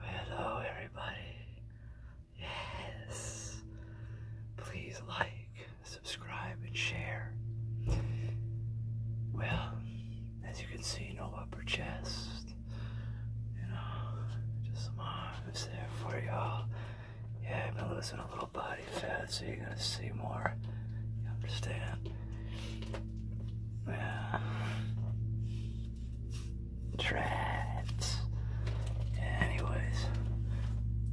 Hello, everybody. Yes. Please like, subscribe, and share. Well, as you can see, no upper chest. You know, just some arms there for y'all. Yeah, I've been losing a little body fat, so you're gonna see more. You understand? Uh, traps. Anyways,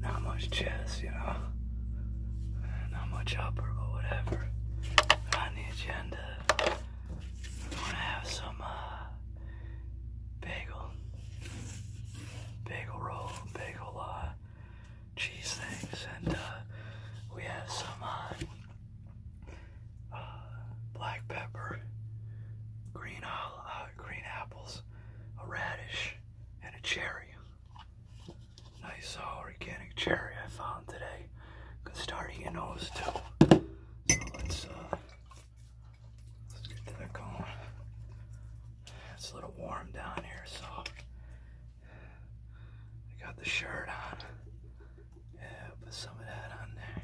not much chess, you know. Not much upper, but whatever. On the agenda, we want to have some uh, bagel, bagel roll, bagel uh, cheese things, and uh, we have some uh, uh, black pepper, green uh, green apples, a radish, and a cherry. Nice uh, organic cherry I found today. Could start eating those too. So let's uh, let's get that going. It's a little warm down here, so I got the shirt on. Yeah, put some of that on there.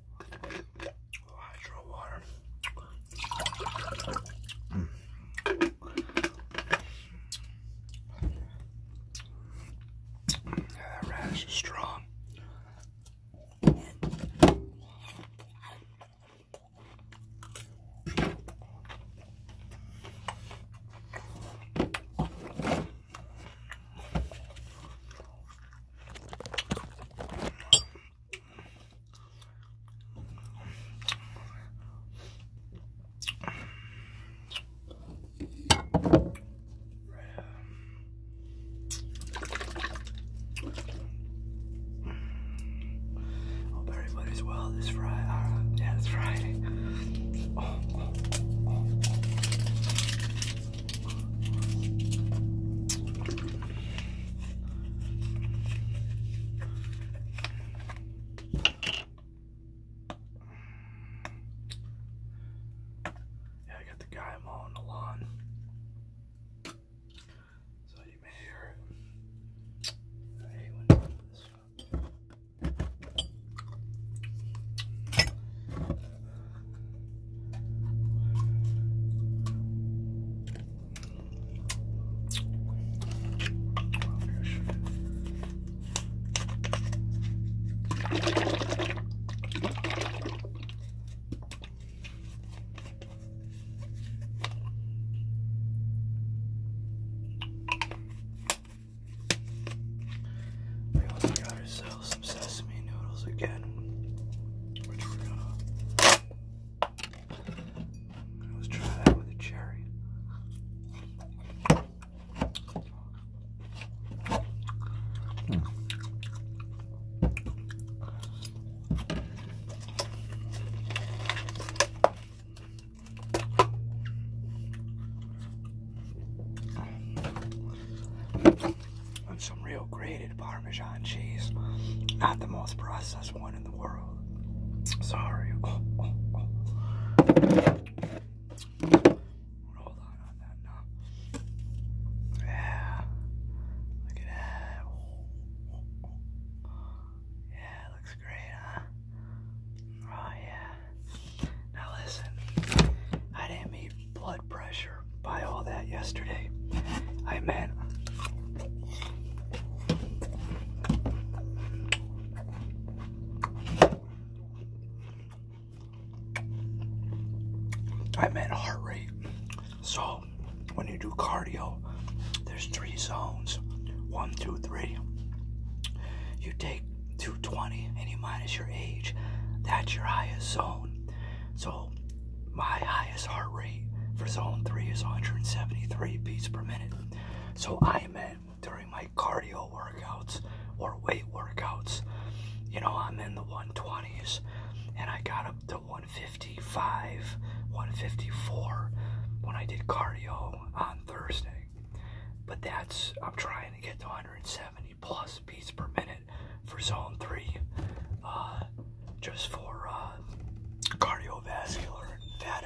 hydro water. Yeah, that rash is strong everybody's well this Friday. Uh, yeah, it's Friday. Oh, oh, oh, yeah, I got the guy mowing the lawn. So you may hear it. I hate when you do this. We also got ourselves sesame noodles again, Let's try that with a cherry and some real grated Parmesan cheese. Not the most processed one in the world. Sorry. Yeah. Yeah, looks great, huh? Oh, yeah. Now listen, I didn't mean blood pressure by all that yesterday. I meant. I meant heart rate. So, when you do cardio, there's three zones one, two, three. You take 220 and you minus your age, that's your highest zone. So my highest heart rate for zone three is 173 beats per minute. So I am at during my cardio workouts or weight workouts, you know, I'm in the 120s and I got up to 155, 154 when I did cardio on Thursday. But that's, I'm trying to get to 170 plus beats per minute for zone three, uh, just for uh, cardiovascular and fat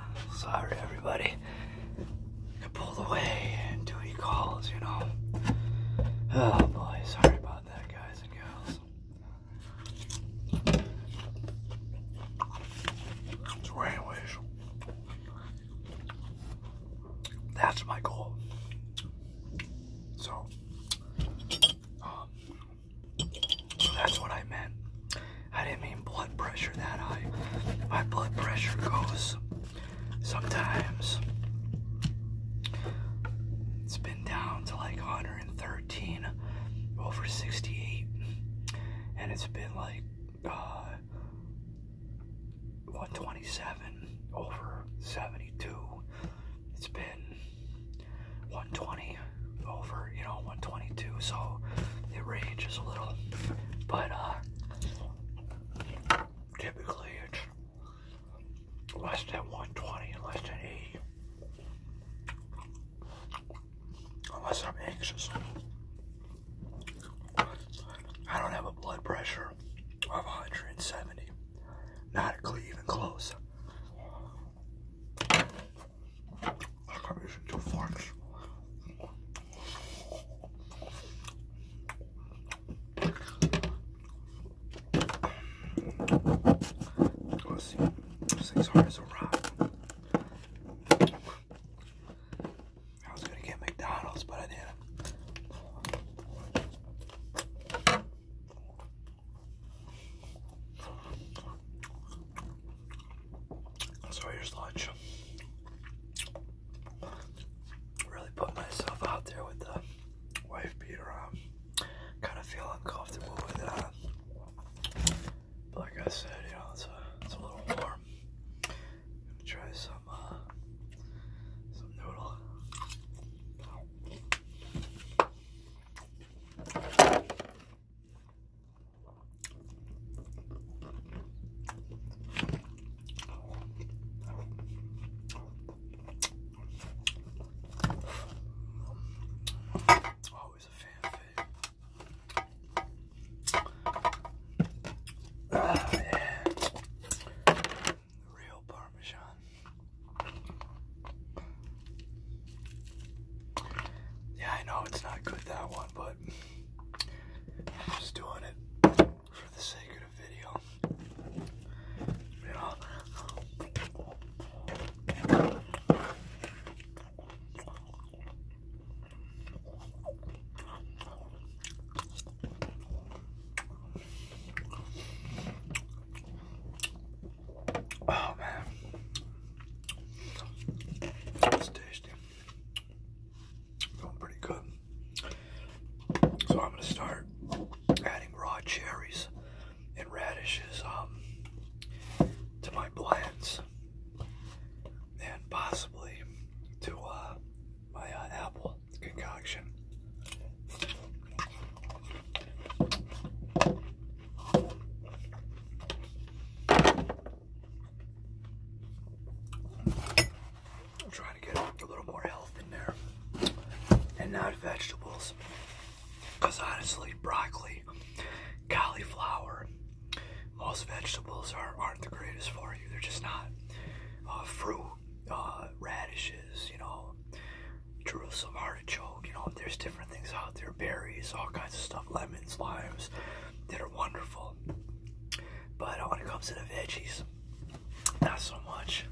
Sorry, everybody. I pulled away and duty calls, you know. Oh boy, sorry about that, guys and girls. So, anyways, that's my goal. So, um, that's what I meant. I didn't mean blood pressure that high. My blood pressure goes sometimes. It's been down to like 113 over 68. And it's been like uh, 127 over 72. It's been 120 over, you know, 122, so it ranges a little. But uh, typically it's less than 120, less than 80. Unless I'm anxious. I don't have a blood pressure of 170. Not even close. I can't use two forks. Let's see. This thing's hard as a rock. I was gonna get McDonald's, but I didn't. So here's lunch. Really put myself out there with the wife beater on. Kind of feel uncomfortable with it on. But like I said, you know, it's a, it's a little warm. I'm gonna try some, uh, some noodle. Always a fan favorite. Ah, yeah. Real Parmesan. Yeah, I know it's not good that one, but I'm just doing it for the sake of the video. Oh man, this tastes tasty. Feeling pretty good. So I'm gonna start adding raw cherries and radishes um, to my blends, and possibly to uh, my uh, apple concoction. I'm trying to get a little more health in there and not vegetables. Because honestly, broccoli, cauliflower, most vegetables are, not the greatest for you. They're just not. Uh, fruit, uh, radishes, you know, Jerusalem artichoke, you know, there's different things out there, berries, all kinds of stuff, lemons, limes, that are wonderful. But when it comes to the veggies, not so much.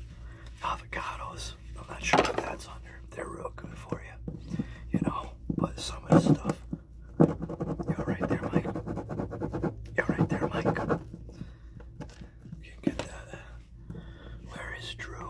Avocados, I'm not sure what that's under. They're real good for you, you know. But some of the stuff. you're right there, Mike. You're right there, Mike. You can get that. Where is Drew?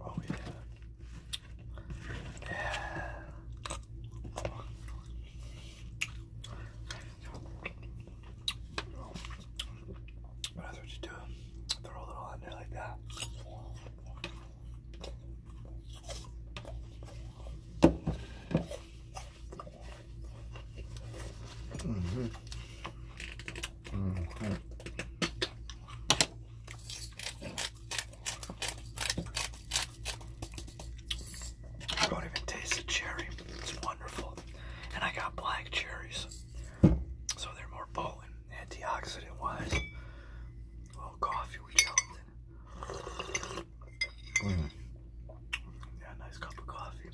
Oh yeah. Yeah. What else would you do? Throw a little on there like that. Mm -hmm. I Don't even taste the cherry. It's wonderful. And I got black cherries. So they're more potent, antioxidant wise. A coffee with gelatin. Mm. Yeah, nice cup of coffee.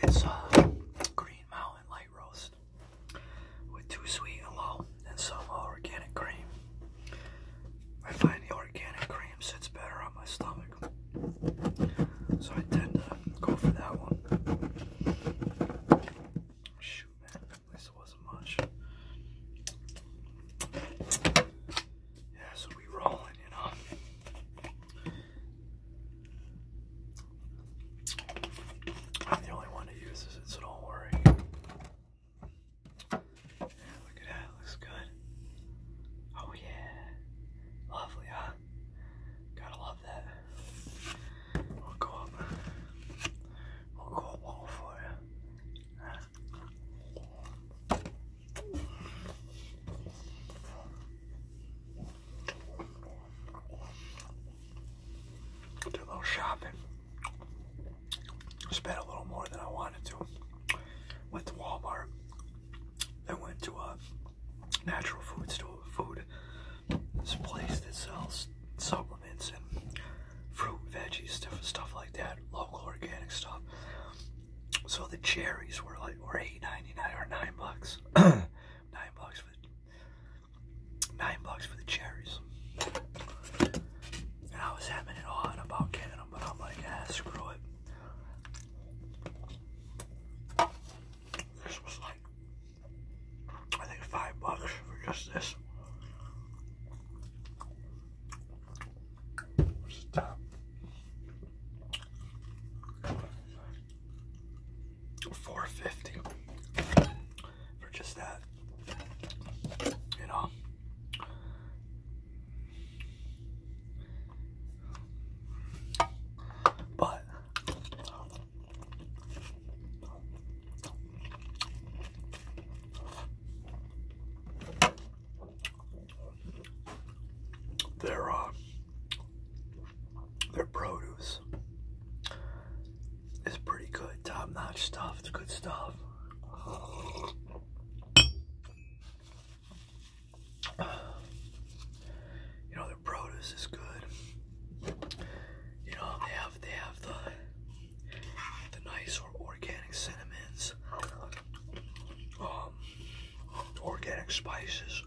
It's a Green Mountain Light Roast with too sweet and low and some organic cream. I find the organic cream sits better on my stomach. So I tend to go for that one. Shoot, man. At wasn't much. Yeah, so we are rolling, you know. I'm the only one who uses it, so don't worry. look at that, looks good. Oh yeah. Lovely, huh? Gotta love that. We'll go up. We'll go up all for you. Did a little shopping. Spent a little more than I wanted to. Went to Walmart. Then went to a natural food store, food. This place that sells supplements and fruit, veggies, stuff, stuff like that. Local organic stuff. So the cherries were like were eight ninety nine or nine bucks. nine bucks for nine bucks for the cherries. And I was having it on about getting them, but I'm like, ah, screw it. This was like I think five bucks for just this. Stop. Four fifty for just that, you know. But their uh, their produce is pretty good, top-notch stuff. It's good stuff. You know their produce is good. You know they have they have the the nice or organic cinnamons. Um, organic spices.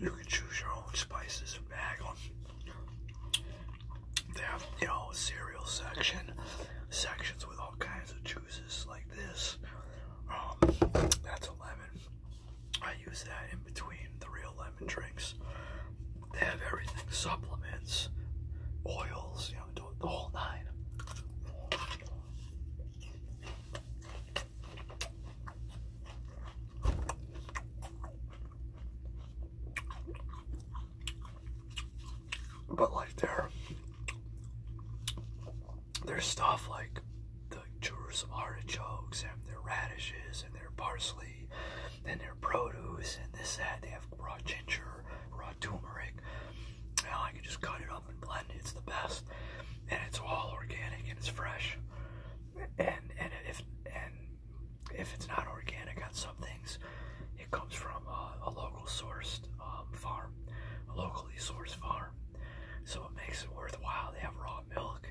You can, choose your own spices and bag They have, you know, cereal section, sections with all kinds of juices like this. Um, that's a lemon. I use that in between the real lemon drink. They have everything supplements, oils, you know, the whole nine. But like their their stuff like the Jerusalem artichokes and their radishes and their parsley broccoli and their produce and this that. They have raw ginger, raw turmeric. Now I can just cut it up and blend it. It's the best, and it's all organic and it's fresh. And and if and if it's not organic on some things, it comes from a, a local sourced um, farm, a locally sourced farm. So it makes it worthwhile. They have raw milk.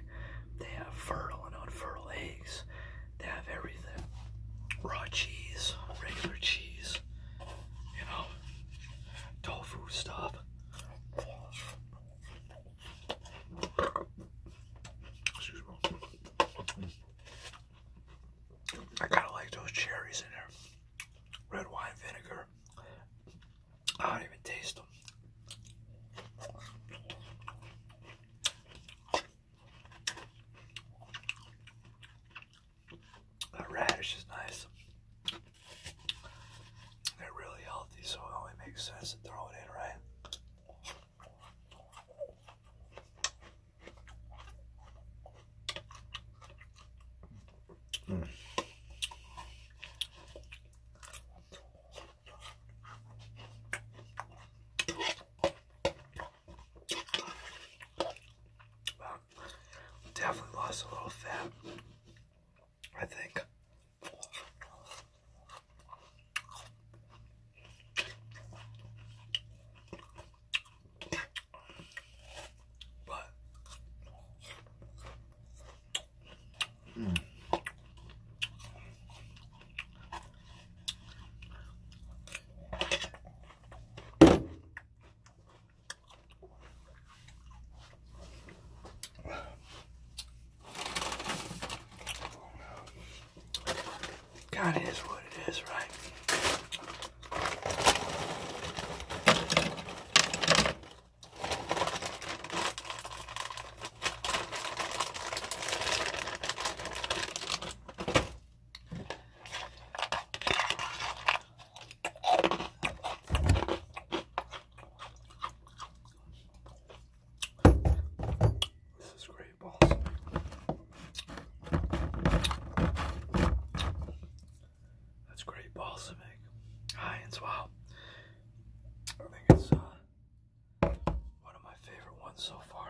They have fertile and unfertile eggs. They have everything. Raw cheese, regular cheese, you know, tofu stuff. I kind of like those cherries in there. Red wine vinegar. I don't even taste them. That radish is nice. They're really healthy, so it only makes sense to throw it in, right? Mm. Well, definitely lost a little fat, I think. But mm. Kind of is what it is, right? This is great balls. That's great balsamic. to I think it's uh, one of my favorite ones so far.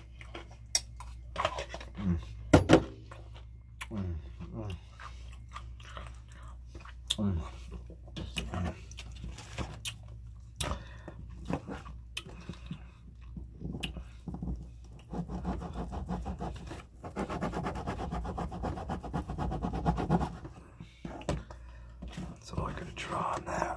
Mm. Mm. Mm. So I could draw on that.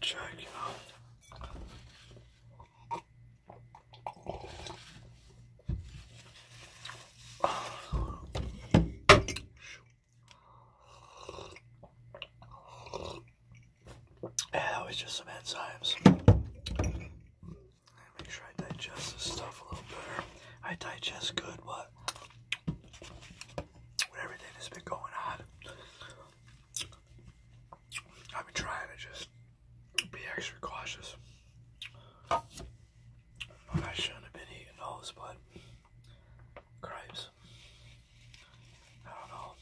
check it out. Yeah, that was just some enzymes. Make sure I digest this stuff a little better. I digest good, but with everything that's been going on, I've been trying to just be extra cautious. I shouldn't have been eating those, but cripes. I don't know.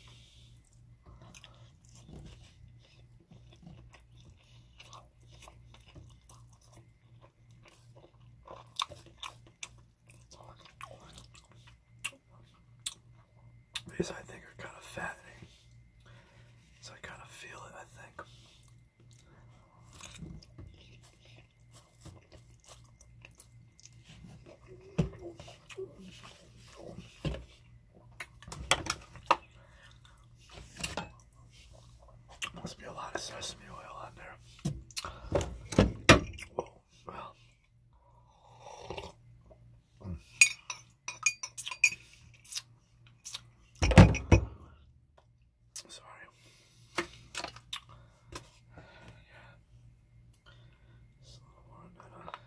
These I think are kind of fattening. So I kind of feel it, I think. Must be a lot of sesame oil on there. Sorry. Yeah. Just a little more better.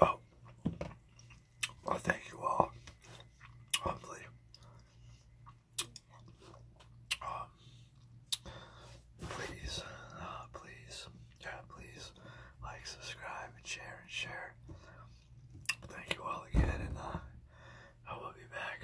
Well, well, thank you all. Hopefully, um, please, uh, please, yeah, please like, subscribe, and share, and share. Thank you all again, and uh, I will be back.